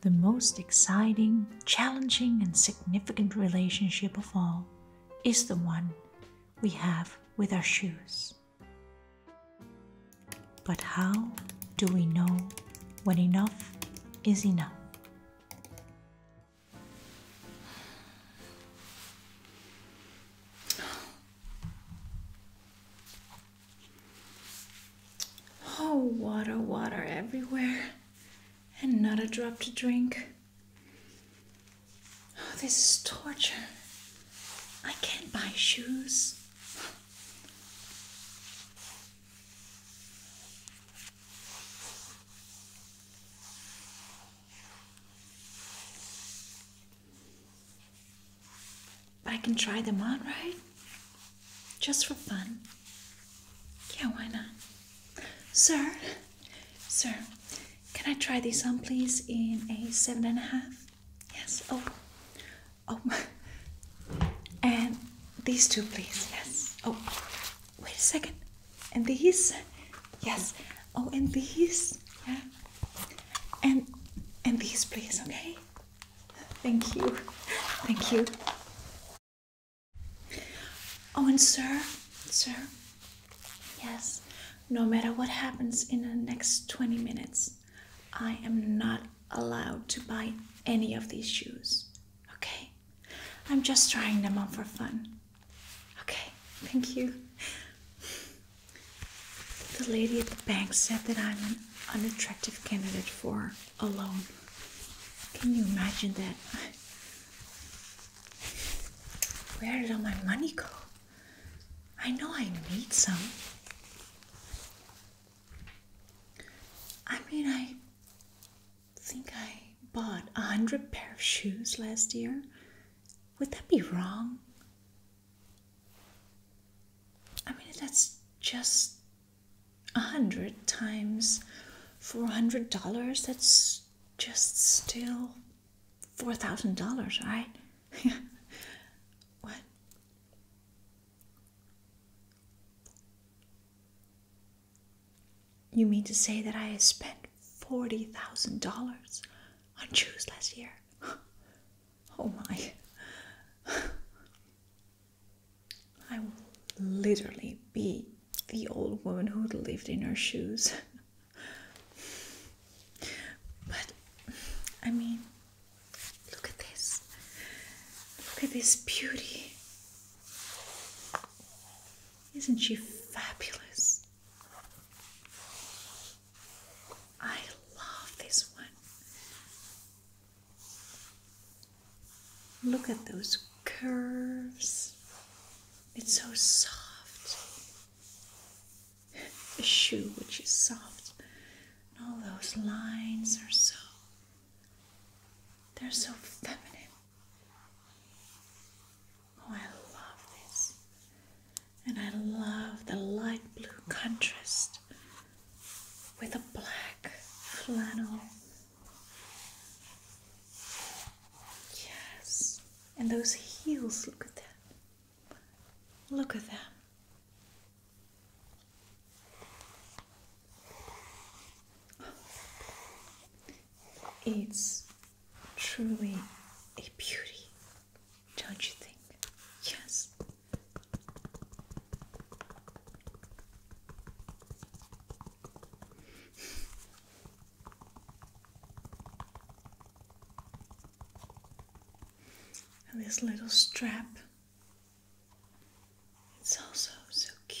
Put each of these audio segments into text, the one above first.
The most exciting, challenging, and significant relationship of all is the one we have with our shoes. But how do we know when enough is enough? Oh, water, water everywhere, and not a drop to drink. Oh, this is torture. I can't buy shoes. I can try them on, right? Just for fun. Yeah, why not? Sir, sir, can I try these on, please, in a seven and a half? Yes. Oh, oh, and these two, please. Yes. Oh, wait a second. And these, yes. Oh, and these, yeah. And and these, please. Okay. Thank you. Thank you. Oh, and sir, sir. Yes. No matter what happens in the next 20 minutes, I am not allowed to buy any of these shoes. Okay? I'm just trying them on for fun. Okay, thank you. The lady at the bank said that I'm an unattractive candidate for a loan. Can you imagine that? Where did all my money go? I know I need some. I mean, I think I bought a hundred pair of shoes last year. Would that be wrong? I mean, that's just a hundred times four hundred dollars. That's just still four thousand dollars, right? what? You mean to say that I spent $40,000 on shoes last year? Oh my. I will literally be the old woman who lived in her shoes. but, I mean, Look at this. Look at this beauty. Isn't she fabulous? I love this one. Look at those curves. It's so soft. A shoe which is soft. And all those lines are so they're so feminine. Oh, I love this. And I love the light blue contrast with the black flannel. Yes. And those heels, look at them. Look at them. It's truly a beauty, don't you think? Yes. And this little strap it's also so cute.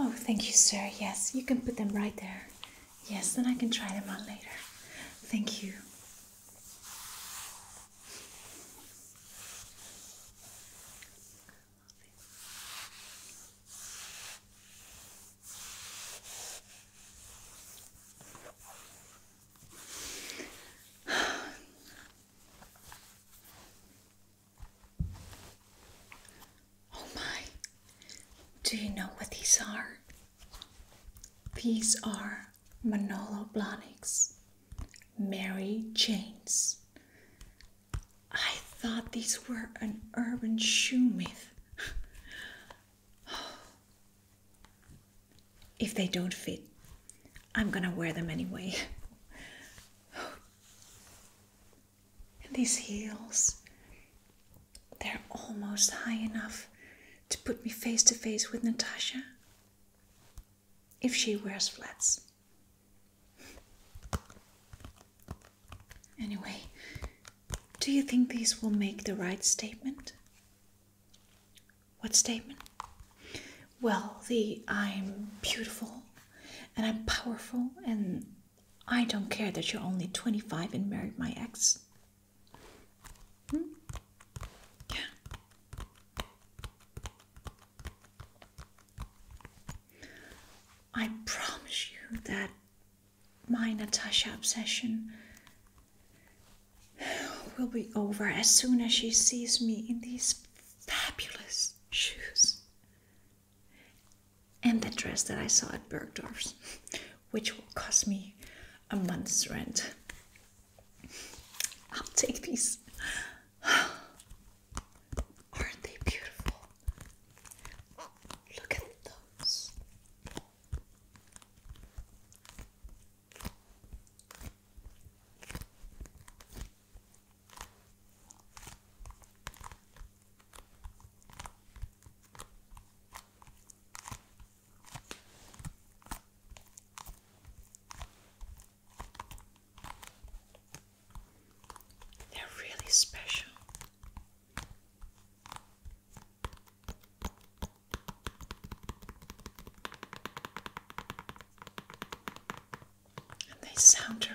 Oh, thank you, sir. Yes, you can put them right there. Yes, then I can try them on later. Thank you. Oh my. Do you know what these are? These are Manolo Blahniks, Mary Jane's, I thought these were an urban shoe myth. if they don't fit, I'm gonna wear them anyway. and these heels, they're almost high enough to put me face to face with Natasha if she wears flats. Anyway, do you think these will make the right statement? What statement? Well, the I'm beautiful and I'm powerful and I don't care that you're only 25 and married my ex. Hmm? Yeah. I promise you that my Natasha obsession will be over as soon as she sees me in these fabulous shoes and the dress that I saw at Bergdorf's, which will cost me a month's rent. I'll take these. Aren't they beautiful? Look at those. They're really special. And they sound terrific.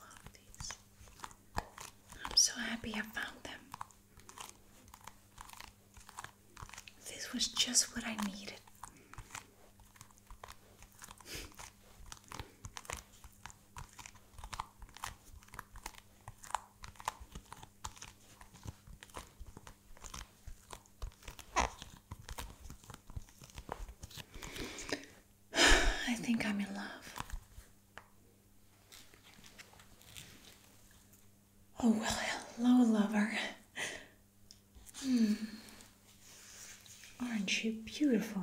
love these. I'm so happy I found them. This was just what I needed. I think I'm in love. Oh, well, hello, lover. Hmm. Aren't you beautiful?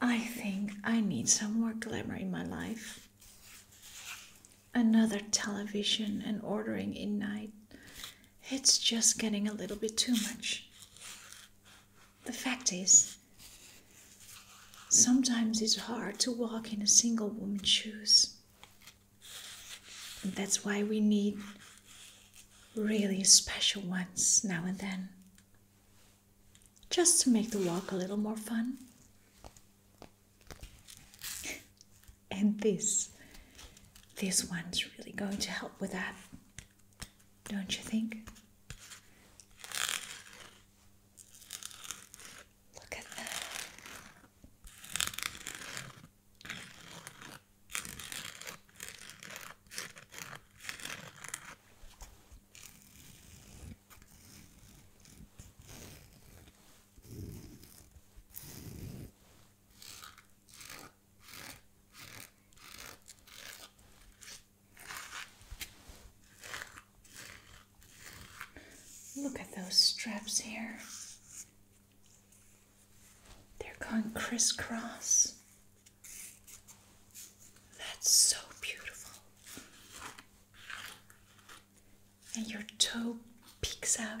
I think I need some more glamour in my life. Another television and ordering in night. It's just getting a little bit too much the fact is, sometimes it's hard to walk in a single woman's shoes. And that's why we need really special ones now and then, just to make the walk a little more fun. And this, this one's really going to help with that don't you think? Look at that. Look at those straps here. They're going crisscross. That's so beautiful. And your toe peeks out.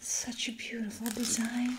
Such a beautiful design.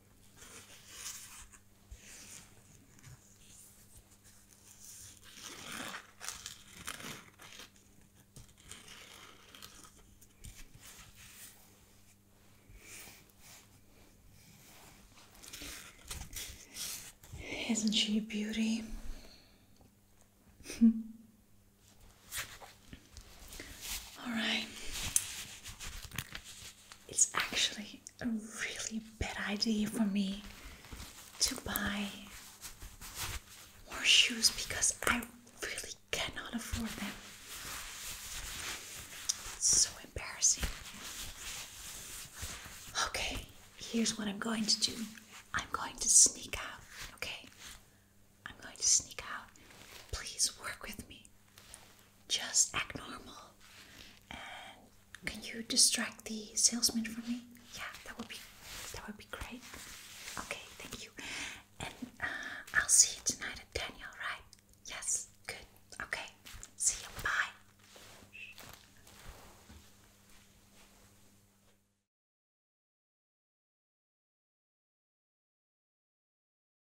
Isn't she a beauty? All right it's actually a really bad idea for me to buy more shoes because I really cannot afford them. It's so embarrassing. Okay, here's what I'm going to do I'm going to sneak out, okay? I'm going to sneak out. Please work with me. Just act normal. And can you distract the salesman for me? Yeah, that would be that would be great. Okay, thank you. And uh, I'll see you tonight at ten. All right? Yes. Good. Okay. See you. Bye.